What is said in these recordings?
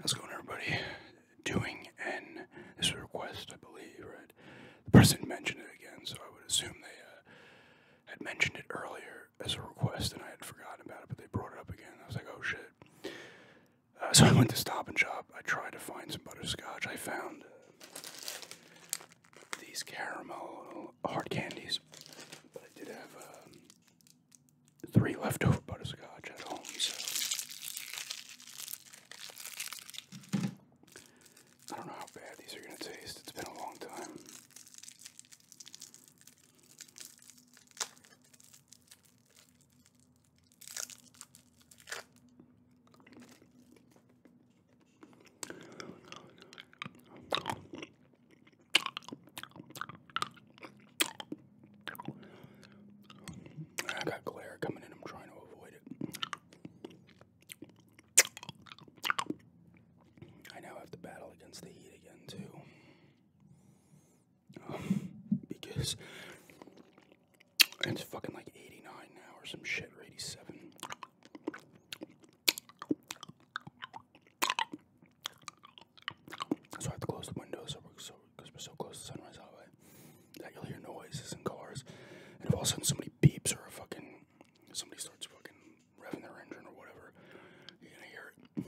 How's it going, everybody? Doing N is request, I believe, right? The person mentioned it again, so I would assume they uh, had mentioned it earlier as a request, and I had forgotten about it, but they brought it up again. I was like, oh shit. Uh, so I went to Stop and Shop. I tried to find some butterscotch. I found uh, these caramel hard candies, but I did have um, three leftover butterscotch at home. So I don't know how bad these are gonna taste. It's been a long time. I got glare coming in. I'm trying to avoid it. I now have to battle against the heat again too, um, because it's fucking like 89 now or some shit 87. So I have to close the windows, so we're so because we're so close to Sunrise Highway that you'll hear noises and cars. And if all of a sudden somebody beeps or a fucking somebody starts fucking revving their engine or whatever, you're gonna hear it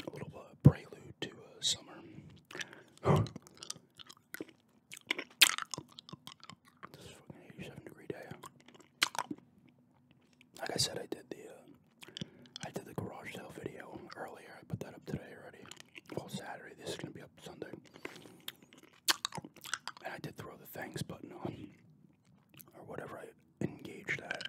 a little uh, prelude to uh, summer. This is fucking 87 degree day. Like I said, I did the uh, I did the garage sale video earlier. I put that up today already all Saturday. This is gonna be up Sunday. And I did throw the thanks button on, or whatever I engaged at.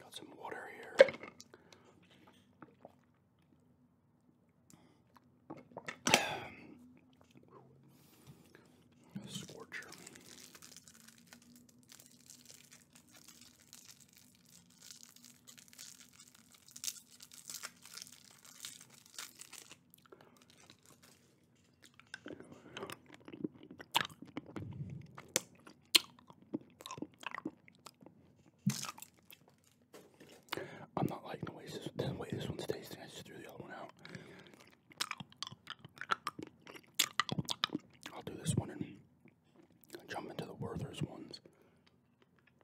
Got some water here. A scorcher. I'm not liking the way this, one's tasting. I just threw the other one out. I'll do this one and jump into the Werther's ones.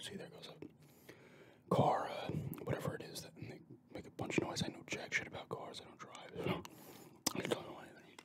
See, there goes a car, uh, whatever it is that they make a bunch of noise. I know jack shit about cars. I don't drive. So I don't know anything.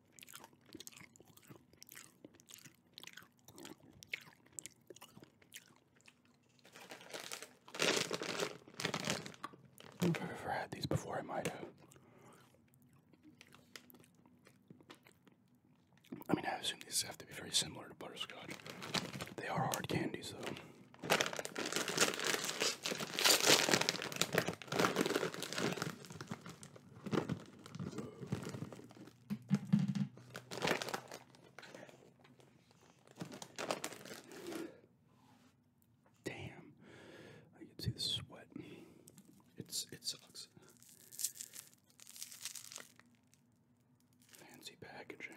I if I've ever had these before, I might have. I mean, I assume these have to be very similar to butterscotch. They are hard candies, though. Damn, I can see the sweat. It's it sucks. Fancy packaging.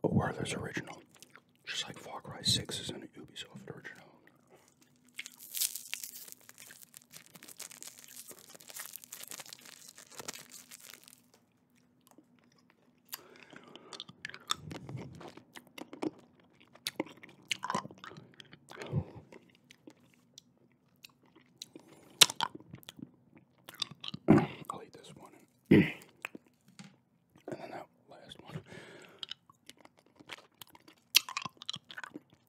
But oh, there's original, just like Far Cry 6 is in an Ubisoft original. I'll eat this one and, then that last one.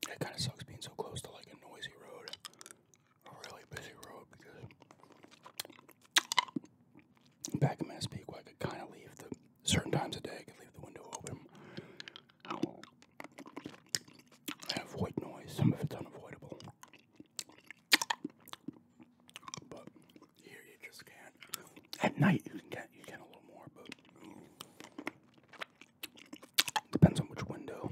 It kind of sucks being so close to like a noisy road a really busy road because back in Massapequa, I could kind of leave the certain times of day, I could leave the window open and avoid noise. Some of it's unavoidable, but here you just can't. At night, you can get you can a little more, but depends on which window.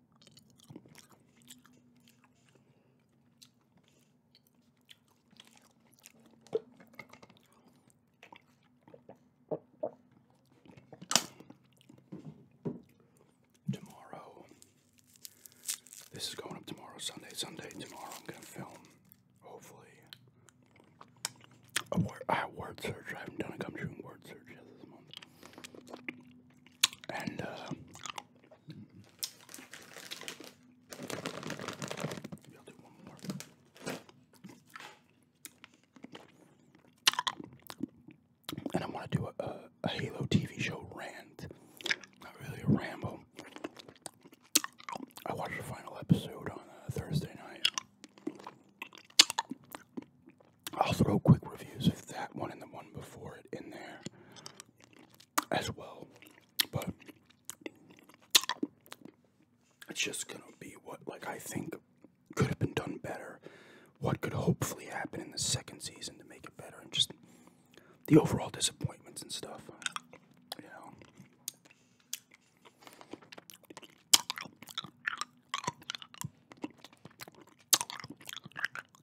Tomorrow, this is going up tomorrow, Sunday, Sunday, tomorrow I'm going to film, hopefully, I have word search. I haven't done a gum chewing word search yet this month and uh, And I want to do a, a, Halo TV show rant, not really a ramble. I watched the final episode on uh, Thursday night. I'll throw quick reviews of that one and the one before it in there as well. But it's just gonna be what like I think could have been done better, what could hopefully happen in the second season to make it better, and just the overall disappointments and stuff. You know.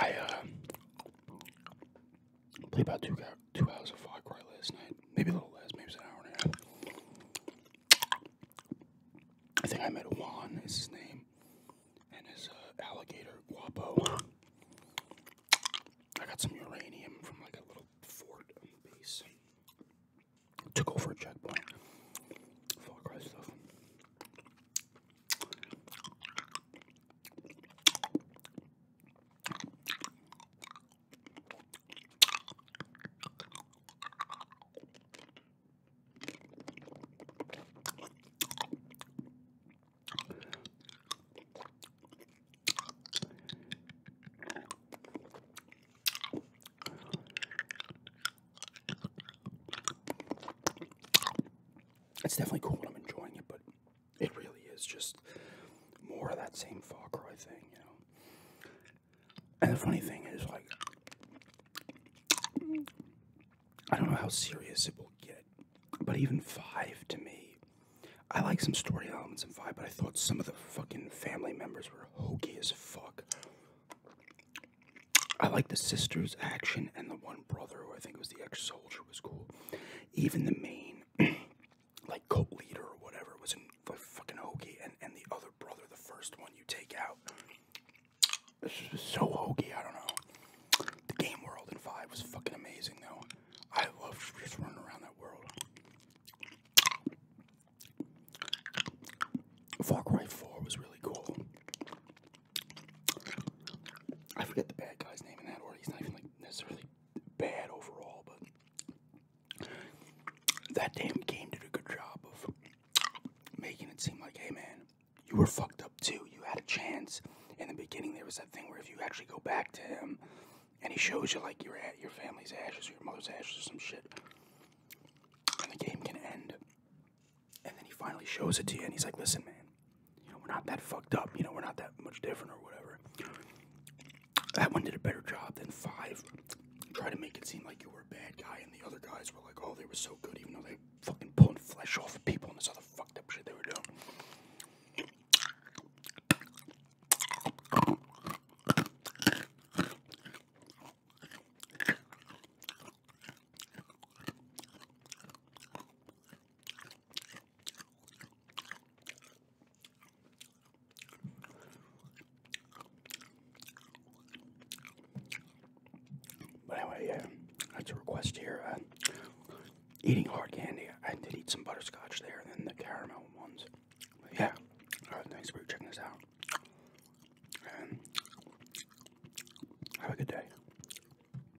I uh, played about two two hours of Far Cry last night, maybe a little less, maybe an hour and a half. I think I met Juan is his name, and his uh, alligator Guapo. I got some uranium from like a little fort base. Took over a checkpoint. Far Cry stuff. It's definitely cool I'm enjoying it, but it really is just more of that same Far Cry thing, you know. And the funny thing is, like, I don't know how serious it will get, but even five to me, I like some story elements in five, but I thought some of the fucking family members were hokey as fuck. I like the sisters' action and the one brother who I think was the ex soldier culture was cool. Even the main, like, cult leader or whatever was in the fucking hokey, and, and the other brother, the first one you take out. This is so hokey, I don't know. The game world in 5 was fucking amazing, though. I love just running around that world. Far Cry 4 was really cool. I forget the bad guy's name in that order. He's not even like necessarily bad overall, but that damn game did a good job of making it seem like, hey man, you were fucked up too. You had a chance. In the beginning, there was that thing where if you actually go back to him, and he shows you like your your family's ashes or your mother's ashes or some shit, and the game can end. And then he finally shows it to you, and he's like, "Listen, man, you know, we're not that fucked up. You know, we're not that much different or whatever. That one did a better job than five. Try to make it seem like you were a bad guy, and the other guys were like, oh, they were so good, even though they fucking pulling flesh off people and this other fucked up shit they were doing. But anyway, yeah, that's a request here. Uh, eating hard candy. I did eat some butterscotch there, and then the caramel ones. But yeah. thanks for checking this out. And have a good day.